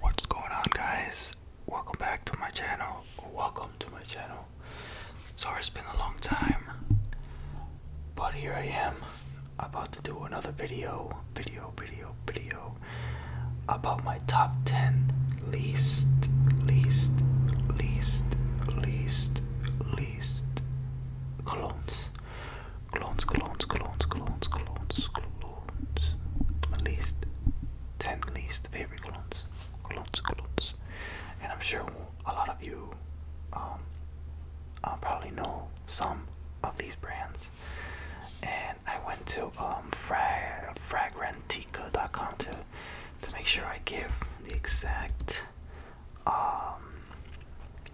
What's going on, guys? Welcome back to my channel. Welcome to my channel. Sorry, it's been a long time, but here I am about to do another video, video, video, video about my top 10 least, least, least, least, least colognes. Clones, clones, clones, clones, clones, clones. My least, 10 least favorite clones. Clones, clones. And I'm sure a lot of you um, uh, probably know some of these brands. And I went to um, frag fragrantica.com to, to make sure I give the exact um,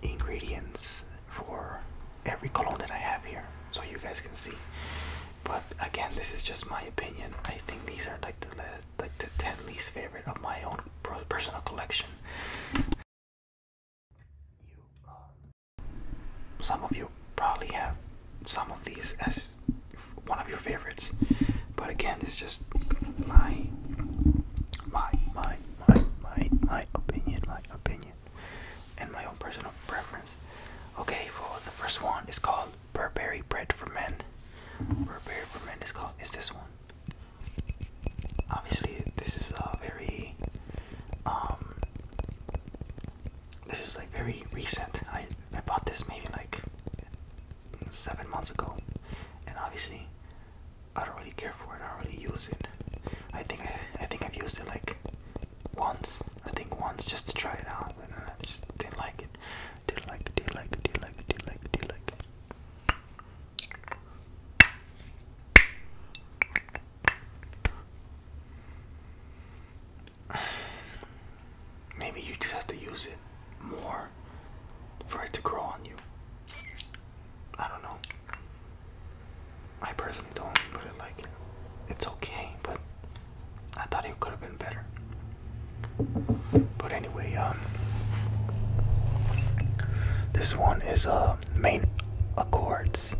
ingredients for every cologne that I have here so you guys can see. But again, this is just my opinion. I think these are like the like the 10 least favorite of my own personal collection. Uh, some of you probably have some of these as one of your favorites, but again, it's just my my my my my opinion, my opinion and my own personal preference. Okay, for the first one is called Burberry Bread for Men. Burberry for Men is called, is this one. Obviously, this is a very, um, this is like very recent. I, I bought this maybe like seven months ago, and obviously, I don't really care for it, I don't really use it. I think I, I think I've used it like once. I think once just to try it out, and I just didn't like it. Didn't like Didn't like Didn't like Didn't like Didn't like it. Maybe you just have to use it more for it to grow on you. I don't know. I personally don't really like it. It's okay, but I thought it could have been better. But anyway, um, this one is uh main accords.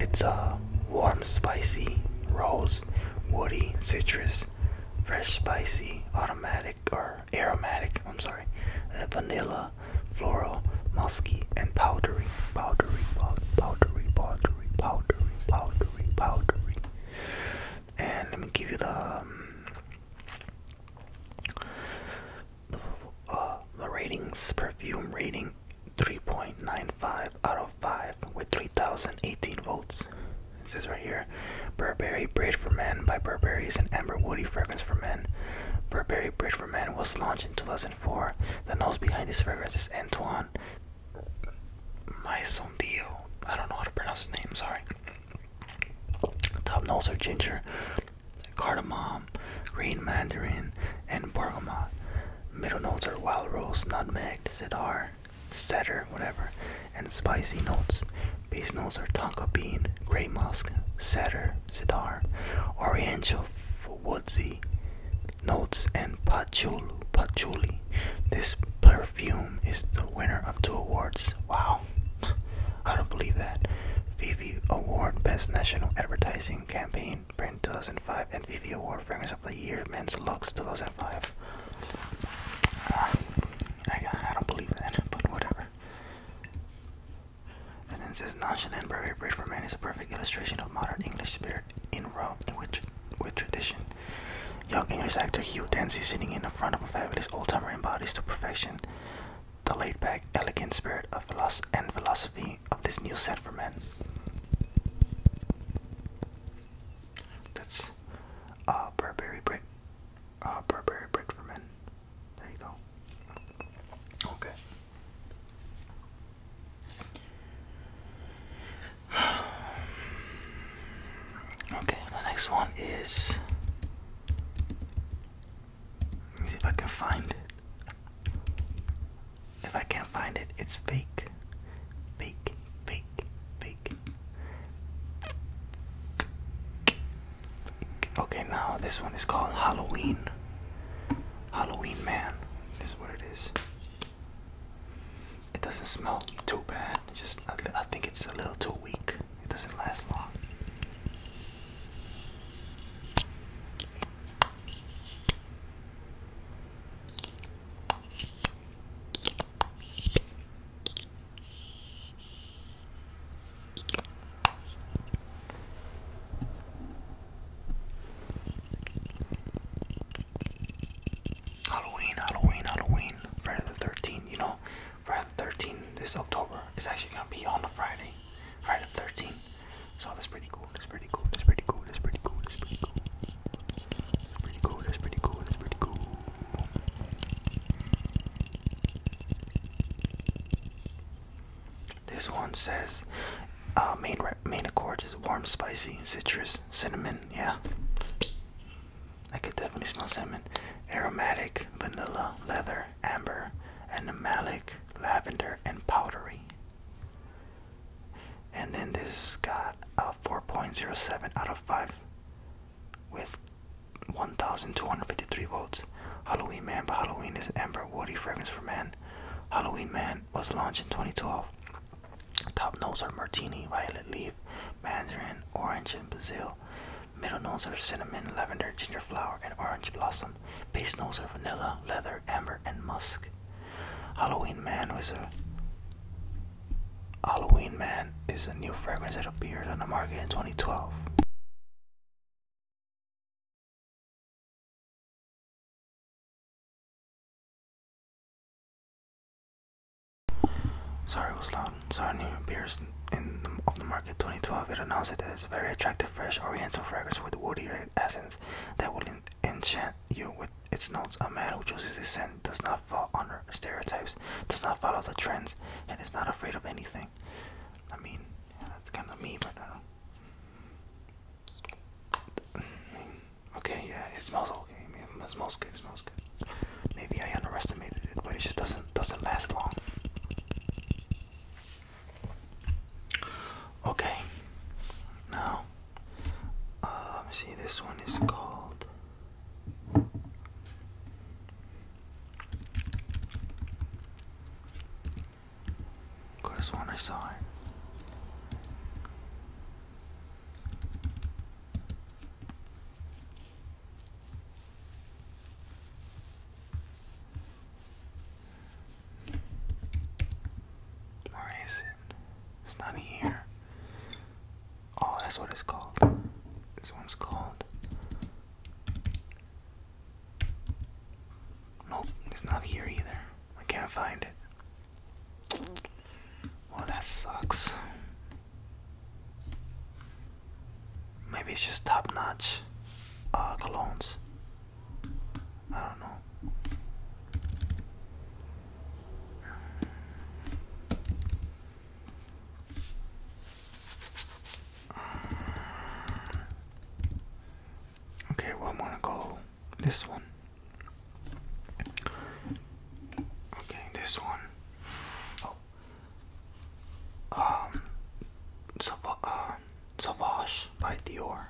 It's a uh, warm, spicy, rose, woody, citrus, fresh, spicy, aromatic or aromatic. I'm sorry, uh, vanilla, floral, musky, and powdery, powdery, powdery, powdery, powdery, powdery, powdery. And let me give you the, the, um, uh, the ratings, perfume rating 3.95 out of 5 with 3,018 votes. This is right here. Burberry Bridge for Men by Burberry is an amber woody fragrance for men. Burberry Bridge for Men was launched in 2000. For The nose behind this fragrance is Antoine Dio. I don't know how to pronounce his name, sorry. Top notes are ginger, cardamom, green mandarin, and bergamot. Middle notes are wild rose, nutmeg, cedar, cedar, whatever, and spicy notes. Base notes are tonka bean, gray musk, cedar, cedar, oriental woodsy notes and patchouli. This perfume is the winner of two awards. Wow, I don't believe that. Vivi Award Best National Advertising Campaign Print 2005 and Vivi Award Fragrance of the Year Men's Looks 2005. Uh, ah, I don't believe that, but whatever. And then says nonchalant Burberry Bridge for men is a perfect illustration of modern English spirit in Rome with, tradition. Young English actor Hugh Dancy sitting in the front of a fabulous old timer embodies to perfection the laid back, elegant spirit of loss and philosophy of this new set for men. That's uh, Burberry Brit. Uh, Burberry Brit for men. There you go. Okay. Okay, the next one is. see if I can find it. If I can't find it, it's fake. Fake, fake, fake. Okay, now this one is called Halloween. Halloween Man this is what it is. It doesn't smell too bad. Just I, I think it's a little too weak. It doesn't last long. Halloween, Halloween, Halloween, Friday the 13th, you know, Friday the 13th this October is actually gonna be on a Friday, Friday the 13th. So that's pretty cool, that's pretty cool, that's pretty cool, that's pretty cool, that's pretty cool. That's pretty cool, that's pretty cool, that's pretty cool. This one says uh, main main accords is warm, spicy, citrus, cinnamon. Yeah, I could definitely smell cinnamon. Aromatic, vanilla, leather, amber, animalic, lavender, and powdery. And then this got a 4.07 out of 5 with 1,253 votes. Halloween Man by Halloween is amber woody fragrance for men. Halloween Man was launched in 2012. Top notes are martini, violet leaf, mandarin, orange, and basil. Middle notes are cinnamon, lavender, ginger flower, and orange blossom. Base notes are vanilla, leather, amber, and musk. Halloween Man was a Halloween Man is a new fragrance that appeared on the market in 2012. Sorry was loud. Sorry new appears in the, of the market 2012. It announced that it's very attractive fresh oriental fragrance with woody essence that will enchant you with its notes. A man who chooses this scent does not fall under stereotypes, does not follow the trends, and is not afraid of anything. I mean, that's kind of me, but I don't. okay, yeah, it smells okay. it smells good. It smells good. Maybe I underestimated it, but it just doesn't doesn't last long. Okay. Now, uh, let me see. This one is called. Could have I saw Where is it? It's not here. Oh, that's what it's called. This one's called Nope, it's not here either. I can't find it. Well, that sucks. Maybe it's just top notch uh, colognes. I don't know. Okay, well, I'm gonna go this one. Okay, this one. Oh. Um, Sav uh, Savage by Dior.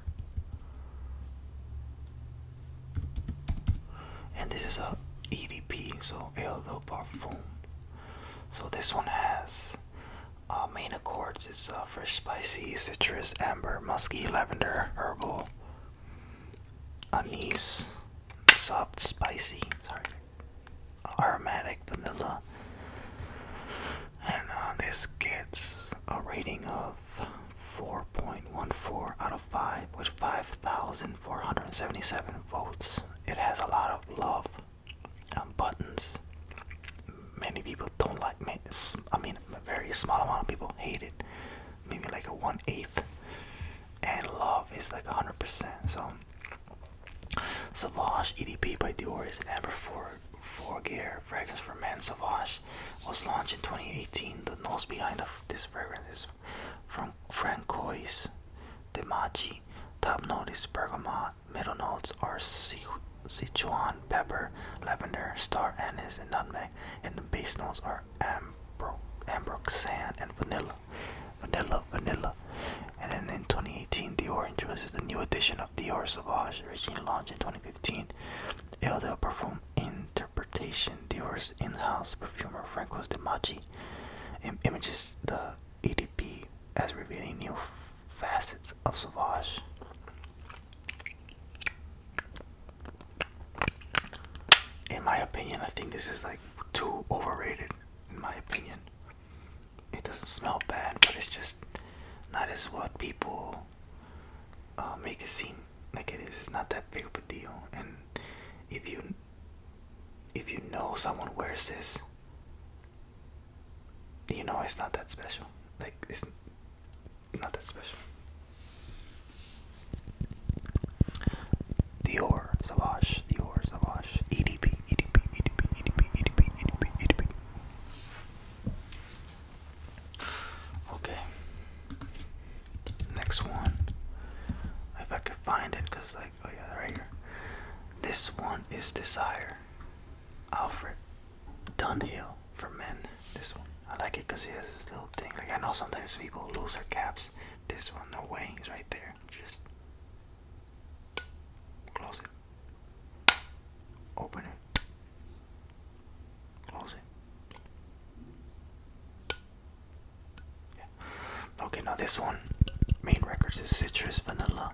And this is a EDP, so Eau de Parfum. So this one has uh, main accords is uh, fresh, spicy, citrus, amber, musky, lavender, herbal, anise, soft, spicy, sorry, aromatic, vanilla. And uh, this gets a rating of 4.14 out of 5 with 5,477 votes. It has a lot of love um, buttons. Many people don't like. me. I mean, a very small amount of people hate it. Maybe like a one eighth. And love is like 100%. So, Sauvage EDP by Dior is an amber for Gear fragrance for men. Savage was launched in 2018. The nose behind this fragrance is from Francois de Machi. Top note is bergamot, Middle notes are Sichuan pepper, lavender, star anise, and nutmeg, and the base notes are ambro, ambroxan, and vanilla. Vanilla, vanilla. And then in 2018, Dior introduces the new edition of Dior Sauvage, originally launched in 2015. Il del Parfum Interpretation, Dior's in-house perfumer Francois De Maggi, images the EDP as revealing new facets of Savage. In my opinion, I think this is like too overrated. In my opinion, it doesn't smell bad, but it's just not as what people uh, make it seem like it is. It's not that big of a deal, and if you if you know someone wears this you know it's not that special. Like it's not that special. Dior, Savage, Dior, Savage, EDP, EDP, EDP, EDP, EDP, Okay. Next one. If I could find it, because I oh yeah, right here. This one is Desire. Alfred Dunhill for men. This one. I like it because he has this little thing. Like I know sometimes people lose their caps. This one, no way, he's right there. Just close it. Open it. Close it. Okay, now this one, main records is citrus, vanilla,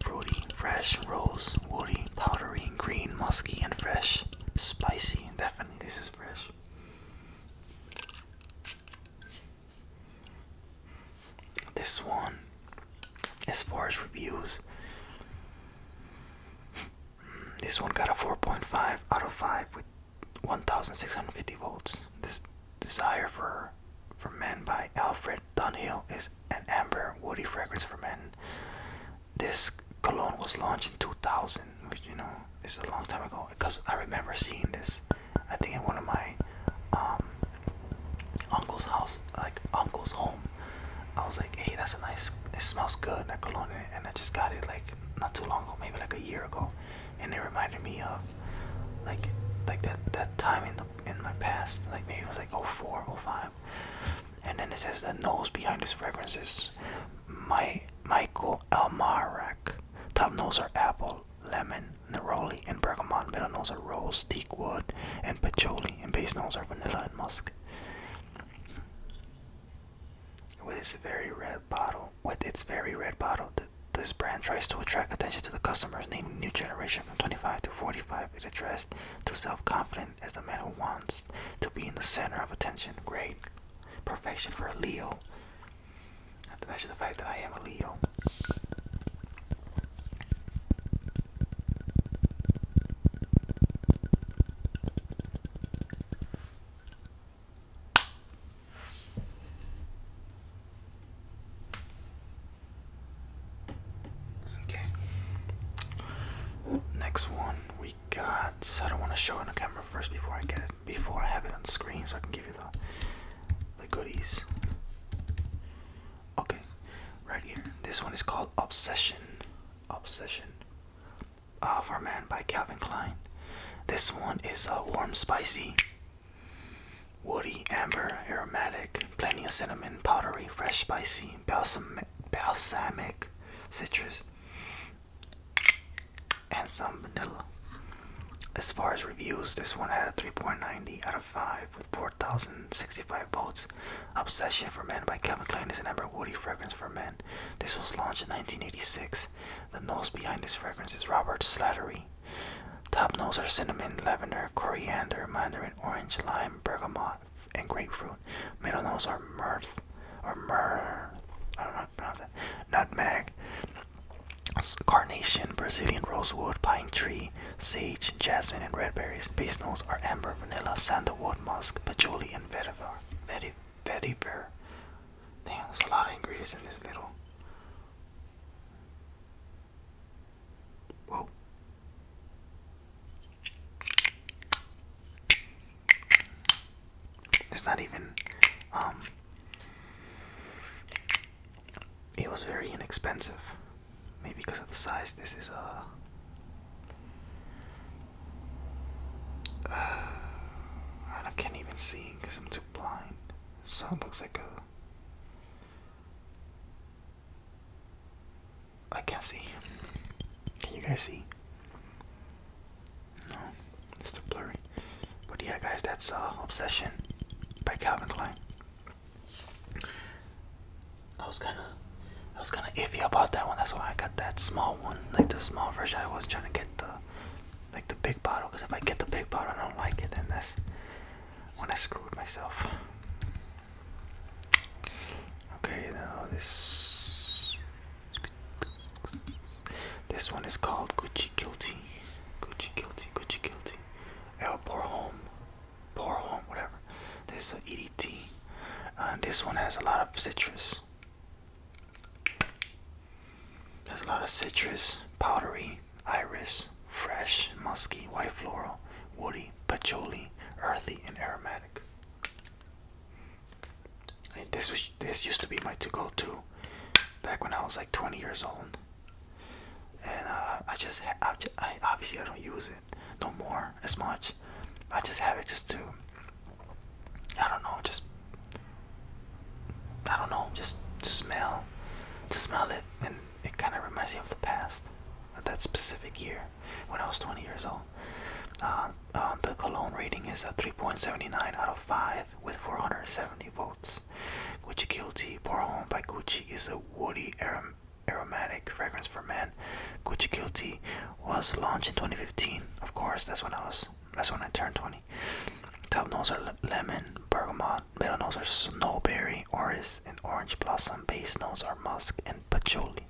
fruity, fresh, rose, woody, powdery, green, musky, and fresh. Spicy, definitely this is fresh. This one, as far as reviews, this one got a 4.5 out of 5 with 1650 votes. This Desire for for Men by Alfred Dunhill is an amber woody fragrance for men. This cologne was launched in 2000, which you know is a long time ago. Because I remember seeing this, I think in one of my um, uncle's house, like uncle's home. I was like, hey, that's a nice. It smells good, that cologne, and I just got it like not too long ago, maybe like a year ago and it reminded me of like like that that time in the in my past like maybe it was like 04 and then it says the nose behind this fragrance is my michael almarac top nose are apple lemon neroli and bergamot middle nose are rose teak wood and patchouli and base nose are vanilla and musk with this very red bottle with its very red bottle, this brand tries to attract attention to the customers, naming new generation from 25 to 45. It addressed to self-confident as the man who wants to be in the center of attention. Great. Perfection for a Leo. Not to mention the fact that I am a Leo. Okay. Next one we got. I don't want to show it on camera first before I get before I have it on screen, so I can give you the the goodies. Okay, right here. This one is called Obsession. Obsession. Of Our Man by Calvin Klein. This one is a uh, warm, spicy. Woody, amber, aromatic, plenty of cinnamon, powdery, fresh, spicy, balsam, balsamic, citrus, and some vanilla. As far as reviews, this one had a 3.90 out of 5 with 4,065 votes. Obsession for Men by Calvin Klein is an amber woody fragrance for men. This was launched in 1986. The nose behind this fragrance is Robert Slattery. Top notes are cinnamon, lavender, coriander, mandarin, orange, lime, bergamot, and grapefruit. Middle notes are mirth or myrrh. I don't know how to pronounce it. Nutmeg, carnation, Brazilian rosewood, pine tree, sage, jasmine, and red berries. Base notes are amber, vanilla, sandalwood, musk, patchouli, and vetiver. Vetiver. Damn, there's a lot of ingredients in this little Whoa. It's not even, um, it was very inexpensive. Maybe because of the size, this is a. Uh, I can't even see because I'm too blind. Sound looks like a. I can't see. Can you guys see? No, it's too blurry. But yeah, guys, that's uh, Obsession by Calvin Klein. I was kind of, I was kind of iffy about that one. That's why I got that small one, like the small version. I was trying to get the like the big bottle because if I get the big bottle I don't like it then that's when I screwed myself. Okay, now this this one is called Gucci Guilty, Gucci Guilty, Gucci Guilty. El pour Home, Pour Home, whatever. This is EDT. Uh, this one has a lot of citrus. There's a lot of citrus, powdery, iris, fresh, musky, white floral, woody, patchouli, earthy, and aromatic. this was, this used to be my to-go to, back when I was like 20 years old, and uh, I just obviously I don't use it no more as much. I just have it just to I don't know just I don't know, just to smell, to smell it, and it kind of reminds me of the past, that specific year when I was 20 years old. Uh, um, the cologne rating is a 3.79 out of 5 with 470 votes. Gucci Guilty Pour Home by Gucci is a woody aromatic fragrance for men. Gucci Guilty was launched in 2015. Of course, that's when I was that's when I turned 20. Top notes are lemon, bergamot. Middle notes are snowberry, orange, and orange blossom. Base notes are musk and patchouli.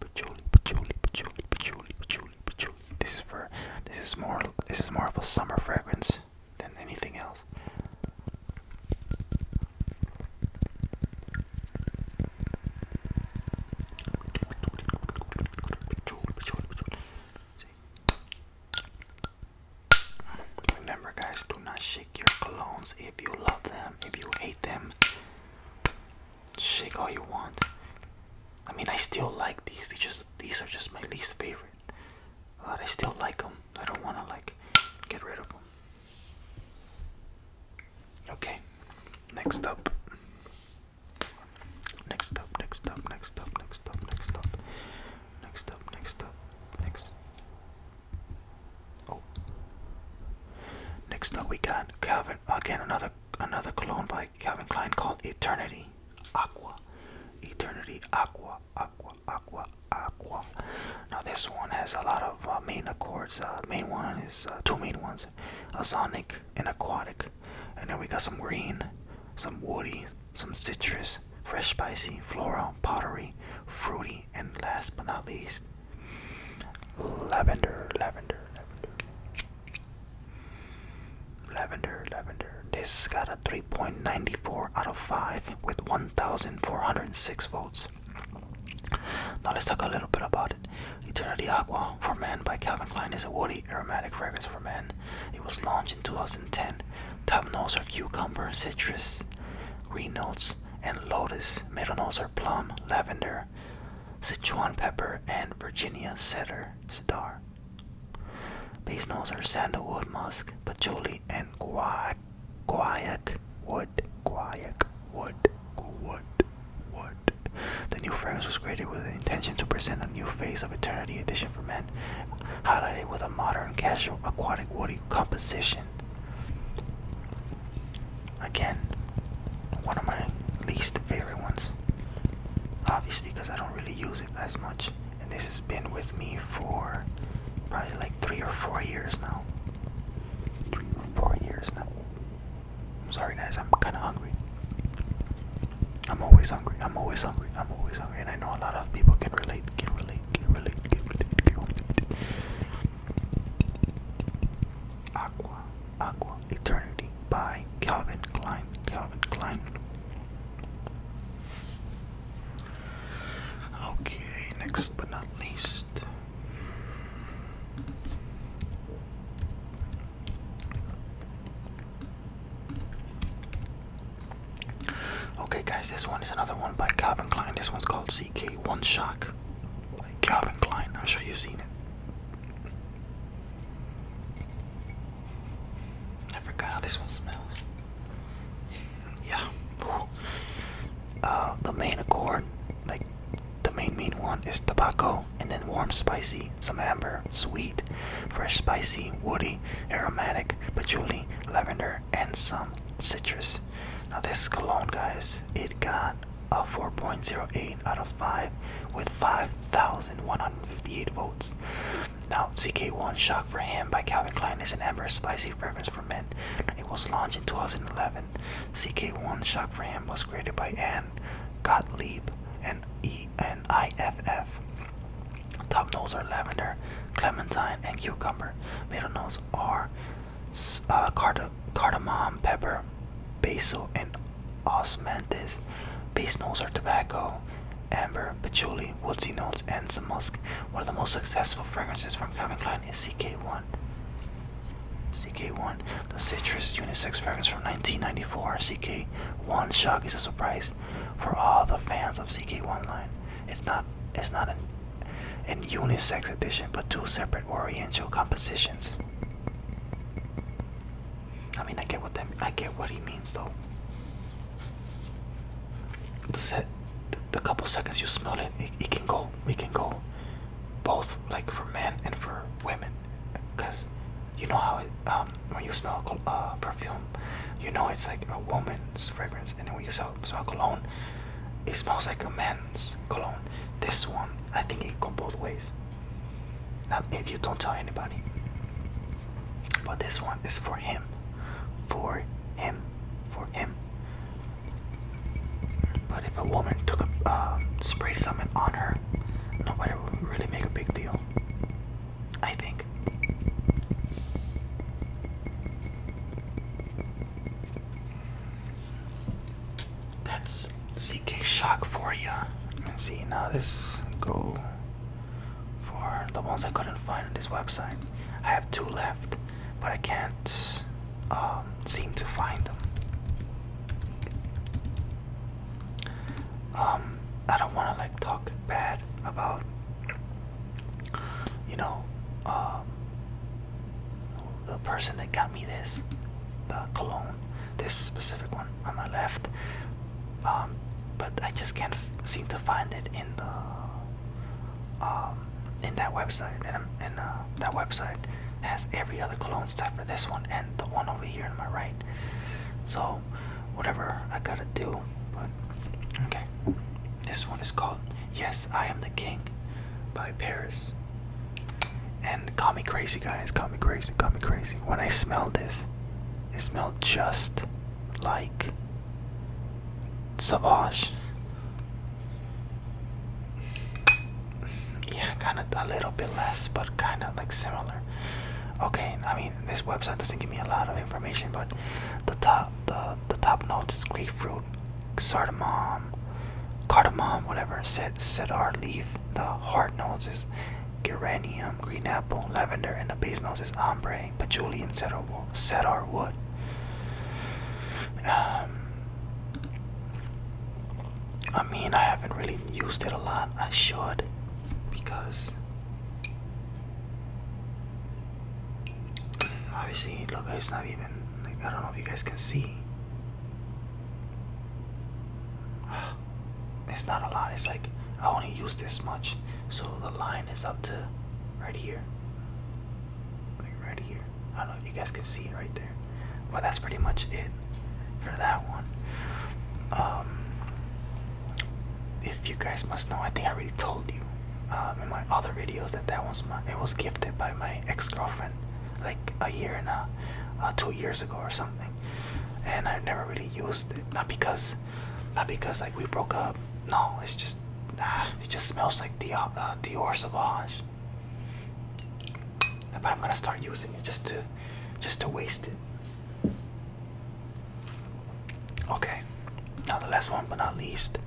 Patchouli, patchouli, patchouli, patchouli, patchouli, patchouli. This is for this is more this is more of a summer fragrance than anything else. Remember, guys, do not shake your colognes if you love them, if you hate them. Shake all you want. I mean, I still like these. They just these are just my least favorite, but I still like them. I don't want to like get rid of them. Okay, next up, Next up, next up, next up, next up, next up, next up, next up, next. Oh. Next up, we got Calvin again. Another another cologne by Calvin Klein called Eternity Aqua. Eternity Aqua, Aqua, Aqua, Aqua. Now this one has a lot of uh, main accords. Uh, main one is uh, two main ones: a sonic and aquatic and then we got some green, some woody, some citrus, fresh spicy, floral, pottery, fruity, and last but not least, lavender, lavender, lavender. Lavender, lavender. This got a 3.94 out of 5 with 1,406 votes. Now let's talk a little bit about it. Eternity Aqua for Men by Calvin Klein is a woody aromatic fragrance for men it was launched in 2010. Top notes are cucumber, citrus, green notes, and lotus. Middle notes are plum, lavender, Sichuan pepper, and Virginia cedar. Cedar. Base notes are sandalwood, musk, patchouli, and guac, guayac wood, guayac wood, wood, wood, the new fragrance was created with the intention to present a new phase of eternity edition for men, highlighted with a modern, casual, aquatic, woody composition. Again, one of my least favorite ones. Obviously, because I don't really use it as much. And this has been with me for probably like three or four years now. four years now. I'm sorry, guys, I'm kind of hungry. I'm always hungry. I'm always hungry. I'm always hungry, and I know a lot of people can relate. Can relate. Can relate. Can relate. Can relate. Aqua, Aqua, Eternity by Calvin Klein. Calvin Klein. Okay, next but not least. Okay, guys, this one is another one by Calvin Klein. This one's called CK One Shock by Calvin Klein. I'm sure you've seen it. I forgot how this one smells. Yeah. Uh, the main accord, like the main main one, is tobacco and then warm spicy, some amber, sweet, fresh spicy, woody, aromatic, patchouli, lavender, and some citrus. Now this cologne guys, it got a 4.08 out of 5 with 5,158 votes. Now CK1 Shock for Him by Calvin Klein is an amber spicy fragrance for men. It was launched in 2011. CK1 Shock for Him was created by Anne Johann Gottlieb and E and IFF. Top notes are lavender, clementine, and cucumber. Middle notes are uh, cardamom, pepper, basil, and osmanthus. Base notes are tobacco, amber, patchouli, woodsy notes, and some musk. One of the most successful fragrances from Calvin Klein is CK1. CK1 the Citrus unisex fragrance from 1994 CK1 Shock is a surprise for all the fans of CK1 line. It's not it's not an, unisex edition, but two separate oriental compositions. I mean, I get what I get what he means though. The couple seconds you smell it, it, it can go, we can go, both like for men and for women because you know how um when you smell uh, perfume you know it's like a woman's fragrance and when you smell, cologne it smells like a man's cologne this one i think it go both ways now if you don't tell anybody but this one is for him for him for him but if a woman took a uh, spray something on her nobody would really make a big deal I think. That's CK Shock for you. see, now this go for the ones I couldn't find on this website. I have two left, but I can't um, seem to find them. Um, I don't want to like talk bad about you know um, the person that got me this the cologne this specific one on my left um, but I just can't seem to find it in the in that website and, uh, that website has every other cologne except for this one and the one over here on my right so, whatever I gotta do, but okay. This one is called Yes, I Am the King by Paris. And call me crazy, guys. Call me crazy, call me crazy. When I smell this, it smells just like Savage yeah, kind of a little bit less, but kind of like similar. Okay, I mean this website doesn't give me a lot of information, but the top the the top notes is grapefruit, cardamom, cardamom, whatever. Set cedar leaf. The heart notes is geranium, green apple, lavender, and the base notes is ombre, patchouli, and cedar cedar wood. Um, I mean, I haven't really used it a lot. I should because obviously, look, it's not even like I don't know if you guys can see. It's not a lot. It's like I only use this much, so the line is up to right here, like right here. I don't know. you guys can see it right there there. Well, that's pretty much it for that one. Um, if you guys must know, I think I already told you um, in my other videos that that was my it was gifted by my ex-girlfriend like a year and a uh, two years ago or something, and I never really used it. Not because, not because like we broke up. No, it's just ah, it just smells like Dior, uh, Dior Sauvage. But I'm gonna start using it just to just to waste it. Okay, now the last one but not least,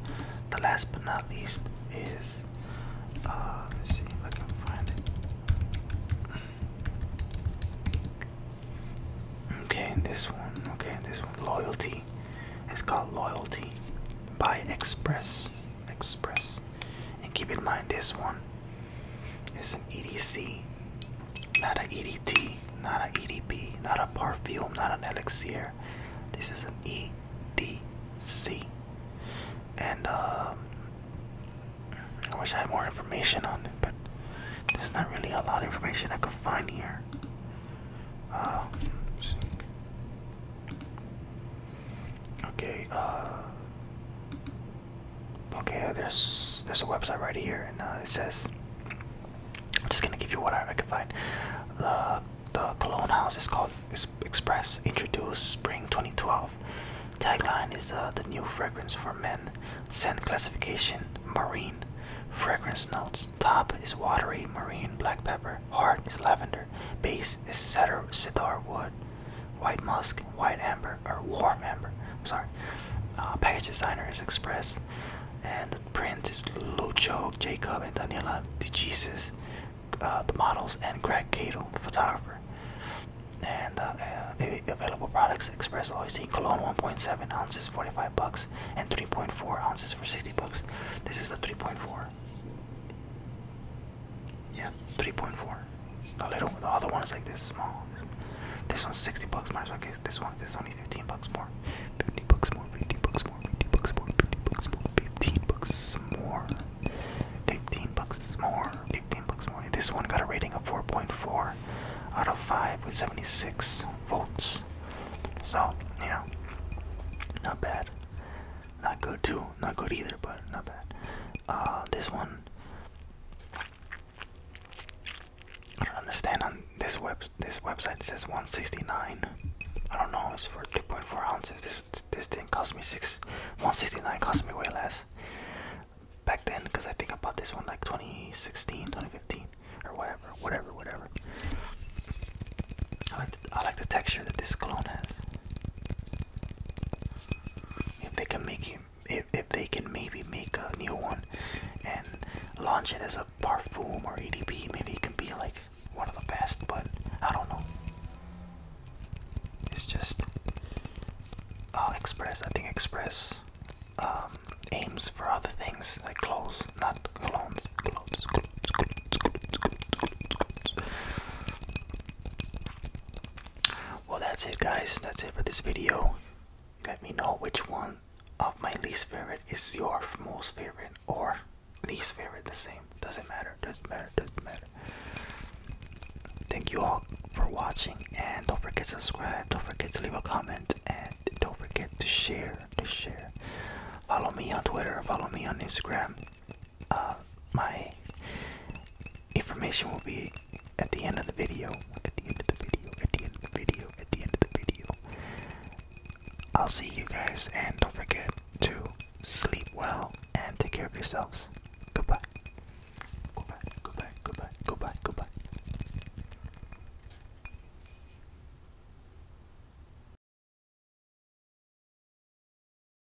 the last but not least is uh, let's see if I can find it. Okay, this one, okay, this one, loyalty. It's called Loyalty by Express. Express. And keep in mind, this one it's an EDC, not an EDT, not an EDP, not a perfume, not an elixir. This is an EDC. And um, I wish I had more information on it, but there's not really a lot of information I could find here. Uh, okay, uh, Okay, there's there's a website right here, and uh, it says I'm just gonna give you what I, can find. The the Cologne House is called Express, introduced spring 2012. Tagline is uh, the new fragrance for men. Scent classification marine. Fragrance notes: top is watery marine black pepper, heart is lavender, base is cedar cedar wood, White musk, white amber, or warm amber. I'm sorry. Uh, package designer is Express, and the print is Lucio Jacob and Daniela De Jesus. Uh, the models and Greg Cato, photographer. And uh, available products: Express Loyalty Cologne 1.7 ounces, 45 bucks, and 3.4 ounces for 60 bucks. This is the 3.4. Yeah, 3.4. The little, the other one is like this small. This one's 60 bucks more. So I this one is only 15 bucks more. 50 bucks more. 50 bucks more. 50 bucks more. 50 bucks more. 15 bucks more. 15 bucks more. 15 bucks more. This one got a rating of 4.4 out of 5 with 76 votes. So, you know, not bad. Not good too. Not good either, but not bad. Ah, this one. I don't understand on this web this website says 169. I don't know, it's for 2.4 ounces. This this thing cost me six 169 cost me way less back then because I think I bought this one like 2016, 2015 or whatever, whatever, whatever. I like the, I like the texture that this clone has. If they can make you, if, if they can maybe make a new one and launch it as a Parfum or ADP, maybe it can be like one of the best, but I don't know. It's just uh, Express. I think Express um, aims for other things like clothes, not clones. Clothes, clothes, clothes, clothes, clothes, clothes. Well, that's it, guys. That's it for this video. Let me know which one of my least favorite is your most favorite or least favorite. The same doesn't matter. Doesn't matter. Doesn't matter. Thank you all for watching, and don't forget to subscribe. Don't forget to leave a comment, and don't forget to share. To share. Follow me on Twitter. Follow me on Instagram uh, my information will be at the end of the video. At the end of the video. At the end of the video. At the end of the video. I'll see you guys, and don't forget to sleep well and take care of yourselves. Goodbye. Goodbye. Goodbye. Goodbye. Goodbye. Goodbye.